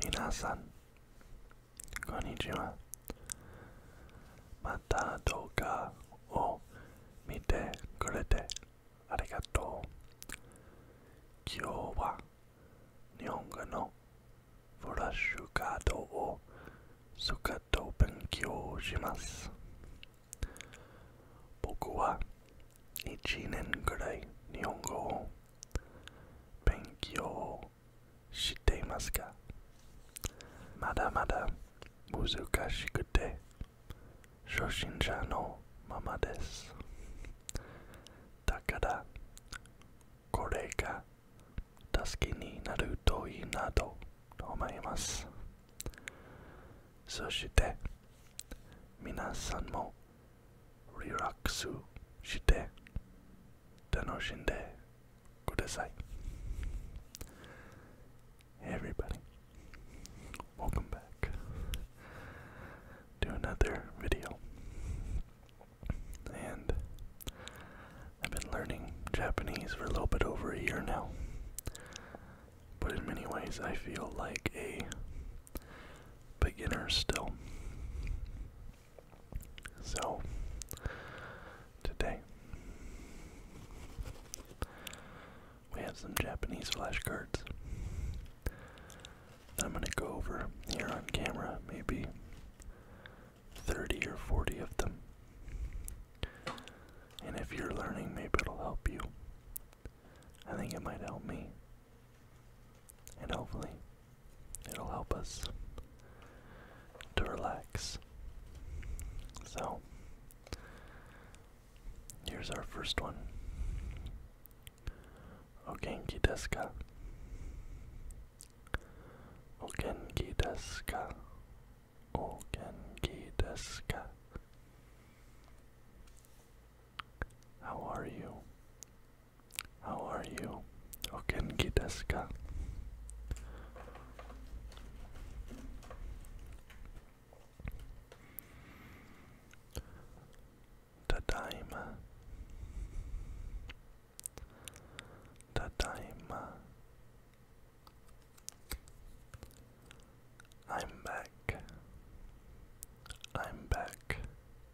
皆さん、こんにちは。また動画を見てくれてありがとう。今日は日本語のフラッシュカードを使って勉強します。僕は1年くらい日本語を勉強をしていますがまだまだ難しくて初心者のままですだからこれが助けになるといいなと思いますそして皆さんも Rirakusu everybody, welcome back to another video. And I've been learning Japanese for a little bit over a year now. But in many ways, I feel like a beginners still. So, today, we have some Japanese flashcards that I'm going to go over here on camera, maybe 30 or 40 of them. And if you're learning, maybe it'll help you. I think it might help me and hopefully, it'll help us to relax. So, here's our first one. Ogenki desu ka? How are you? How are you? Okenki desu ka? Tadaima. Tadaima. I'm back. I'm back.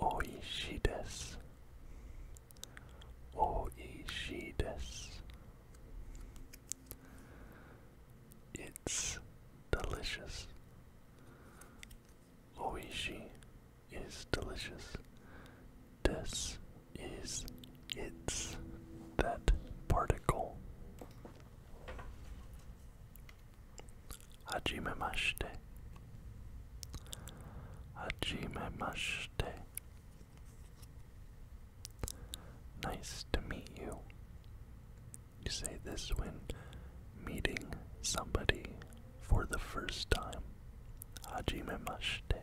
Oishii desu. It's delicious. Oishi is delicious. Des is it's that particle. mashte. Hajimemashite. mashte. Nice to meet you. You say this when meeting somebody for the first time. mashte.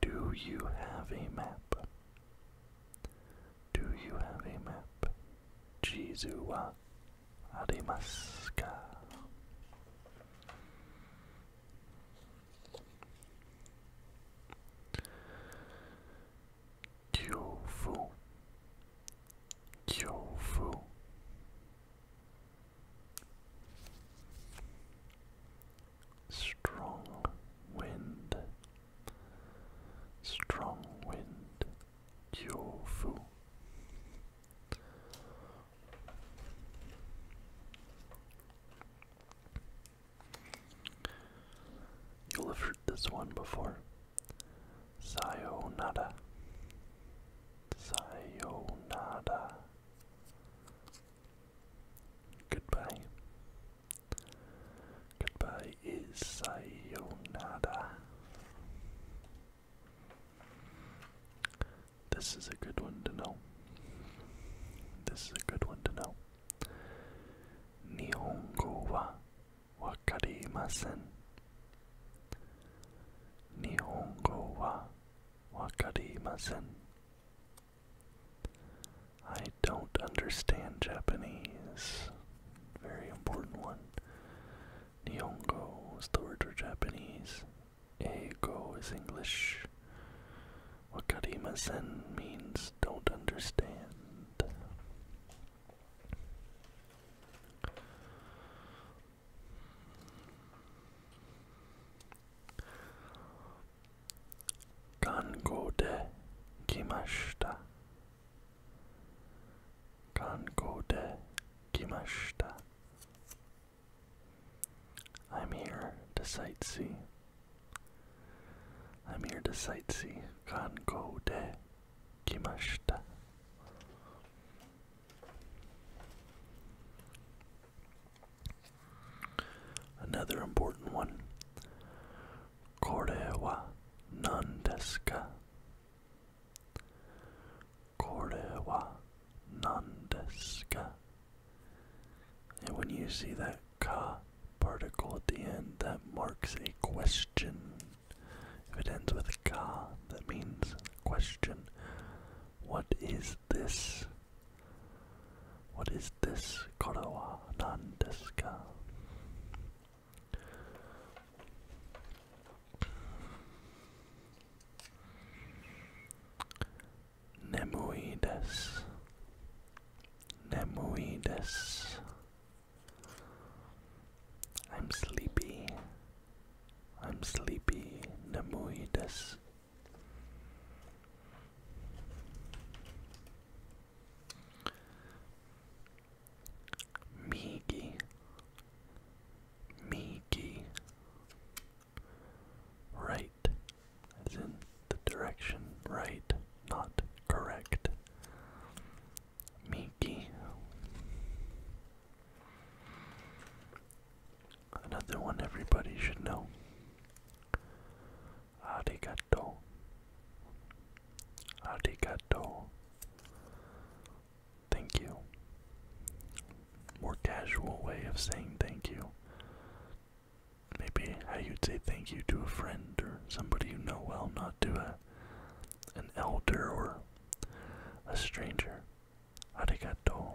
Do you have a map? Do you have a map? Jizu wa arimasu ka? Kyofu. Kyofu strong wind, strong wind, Fu. You'll have heard this one before. Sayonara. Sayonara. Goodbye. Goodbye is sayonara. This is a good one to know. This is a good one to know. Nihongo wa wakarimasen. Nihongo wa wakarimasen. I don't understand Japanese. Very important one. Nihongo is the word for Japanese. Eigo is English. Wakarimasen means don't understand. Kango de kimashita. Kango I'm here to sightsee. I'm here to sightsee. Kango de Another important one. Kore wa nan desu And when you see that ka particle at the end, that marks a question. If it ends with ka, that means question. What is this? What is this koro nan desu ka? Nemui I'm sleepy. I'm sleepy. Nemui desu. Miki Miki Right as in the direction right, not correct. Miki Another one everybody should know. Arigato. Arigato. Thank you. More casual way of saying thank you. Maybe how you'd say thank you to a friend or somebody you know well, not to a an elder or a stranger. Arigato.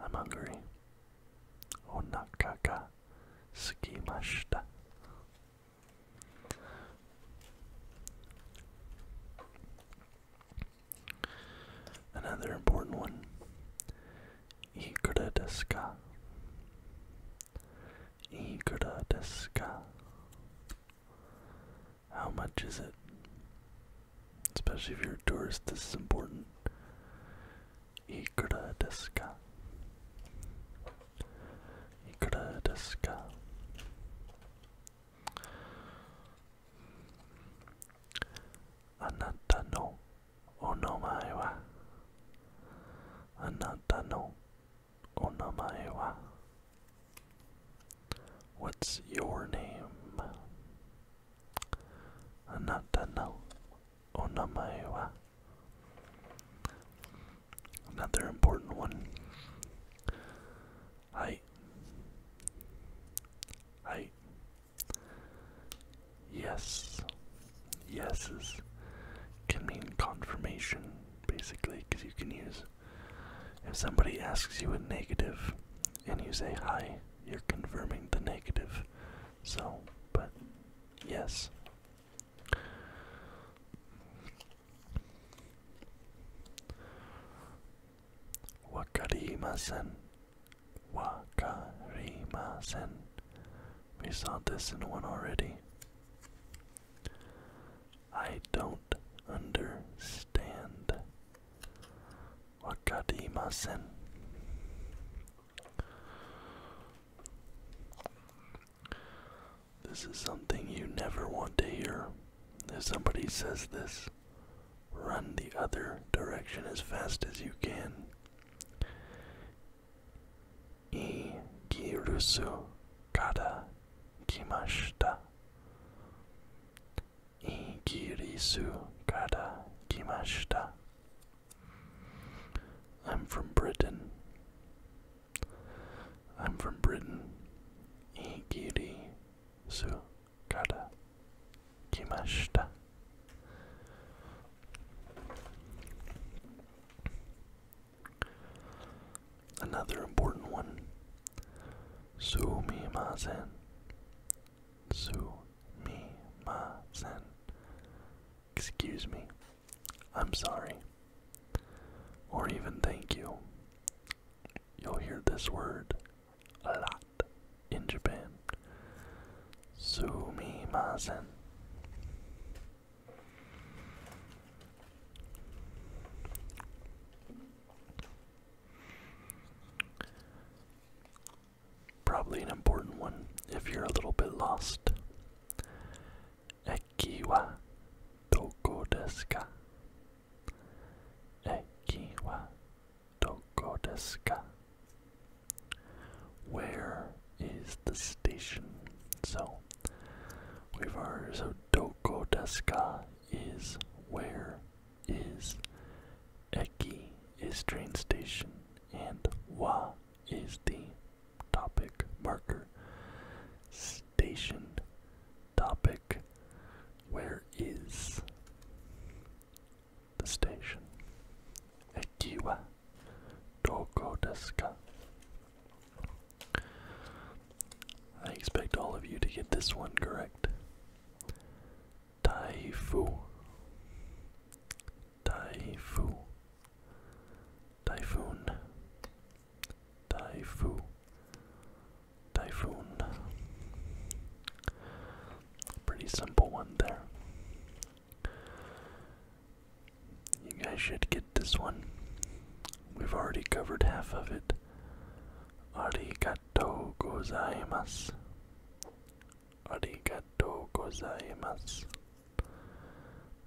I'm hungry. Onaka ga sukimashita. Another important one. Ikura desu How much is it? Especially if you're a tourist, this is important. Ikura desu Anata no onomae wa? Anata no onomae wa? What's your name? Anata no onamae wa. Another important one. Hai. Hai. Yes. Yeses can mean confirmation, basically, because you can use. If somebody asks you a negative, and you say hi, you're confirming the negative. So, but yes. Wakarimasen. Wakarimasen. We saw this in one already. I don't understand wakarimasen. This is something you never want to hear. If somebody says this, run the other direction as fast as you can. Ikirusu kara kimashita. Igirisu kara kimashita. I'm from Britain. I'm from Britain. Igirisu kara kimashita. Another important one. Sumimasen. Sumimasen. Excuse me. I'm sorry. Or even thank you. You'll hear this word a lot in Japan. Sumimasen. Probably an important one if you're a little bit lost. Eki wa doko desu ka? doko desu Where is the station? So, we've heard so doko desu is where is Eki is train station and Wa is the topic marker. Station topic where is the station? Eki wa doko desu ka? I expect all of you to get this one correct. Taifu. Taifu. Typhoon. Taifu. Typhoon. Pretty simple one there. You guys should get this one. We've already covered half of it. Already got. Arigatou gozaimasu. Arigatou gozaimasu.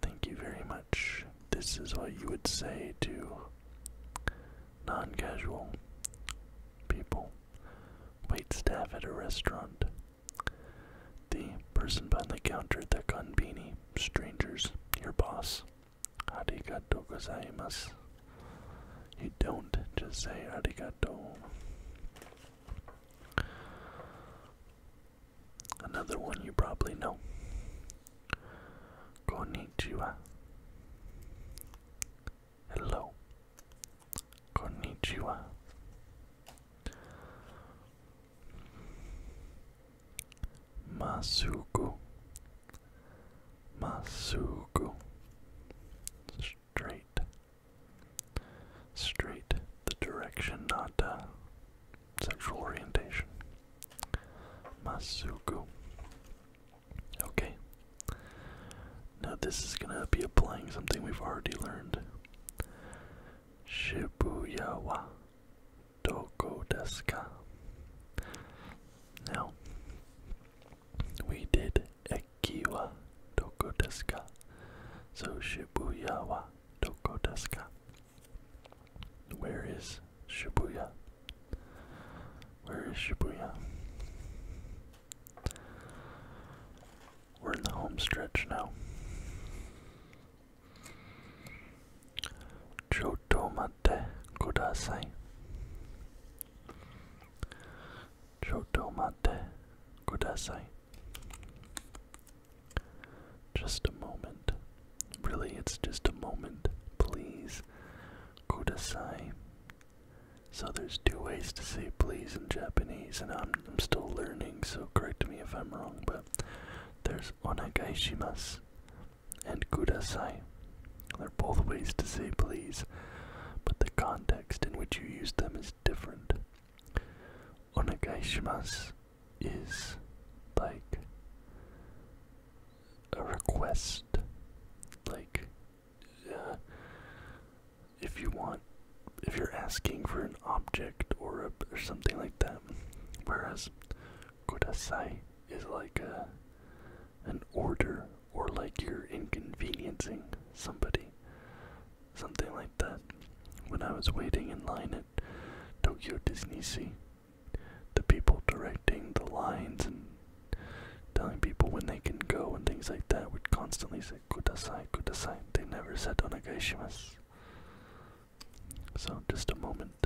Thank you very much. This is what you would say to non casual people, wait staff at a restaurant, the person behind the counter at the gun beanie, strangers, your boss, Arigato gozaimasu. You don't just say arigato. Another one you probably know. Konnichiwa. Hello. Konnichiwa. Masuku. Masugu. Straight. Straight. The direction, not uh, sexual orientation. Masugu. Okay. Now this is gonna be applying something we've already learned. Shibuya wa doko desu ka? Now, we did Ekiwa Doko Deska. So Shibuya wa Doko Where is Shibuya? Where is Shibuya? We're in the home stretch now. Choto ってくださいちょっと待ってください Just a moment. Really, it's just a moment. Please. Kudasai. So there's two ways to say please in Japanese, and I'm, I'm still learning, so correct me if I'm wrong, but there's onegai shimasu and kudasai. They're both ways to say please, but the context in which you use them is different. Onegai shimasu is like a request, like uh, if you want, if you're asking for an object or, a, or something like that. Whereas Kudasai is like a an order or like you're inconveniencing somebody. Something like that. When I was waiting in line at Tokyo Disney Sea, the people directing the lines and telling people when they can go and things like that would constantly say kudasai, kudasai. They never said onegaishimasu. So just a moment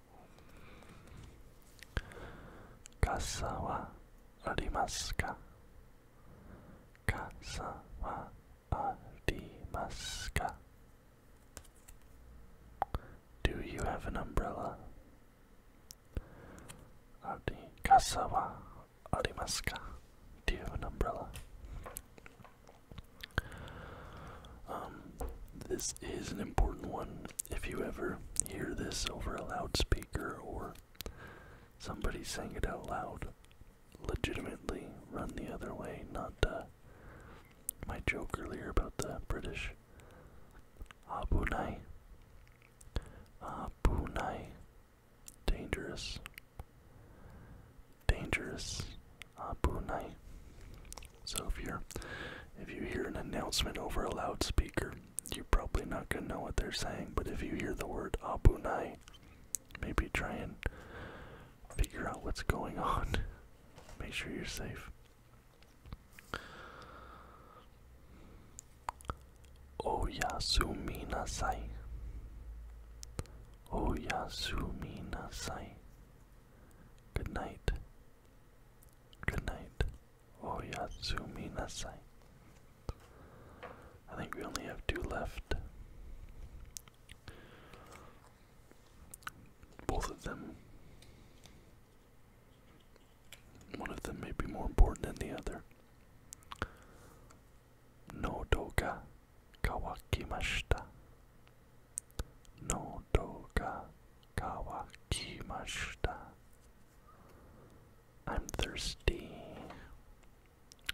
傘はありますか傘はありますか Do you have an umbrella? あり傘はありますか Do you have an umbrella? Um, this is an important one if you ever hear this over a loudspeaker or somebody saying it out loud, legitimately run the other way, not uh, my joke earlier about the British. Abu Abu Abunai. Dangerous. Dangerous. Abu Abunai. So if you if you hear an announcement over a loudspeaker, you're probably not gonna know what they're saying, but if you hear the word abunai, maybe try and figure out what's going on. Make sure you're safe. Oyasumi nasai. Oyasumi nasai. Good night. Good night, Oyasumi oh, Nasai. I think we only have two left. Both of them. One of them may be more important than the other. No doga kawakimashita. Nodo ga kawakimashita. I'm thirsty.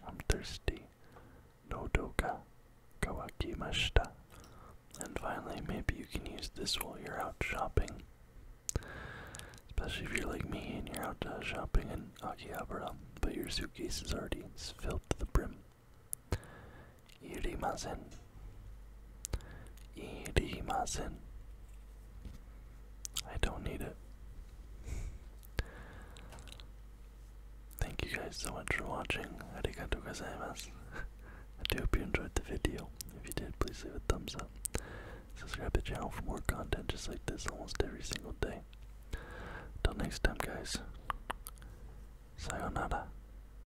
I'm thirsty. Nodo ga kawakimashita. And finally, maybe you can use this while you're out shopping. Especially if you're like me and you're out uh, shopping in Akihabara, but your suitcase is already filled to the brim. Irimasen. Irimasen. I don't need it. Thank you guys so much for watching. Arigatou gozaimasu. I do hope you enjoyed the video. If you did, please leave a thumbs up. Subscribe to the channel for more content just like this almost every single day. Till next time, guys. Sayonara.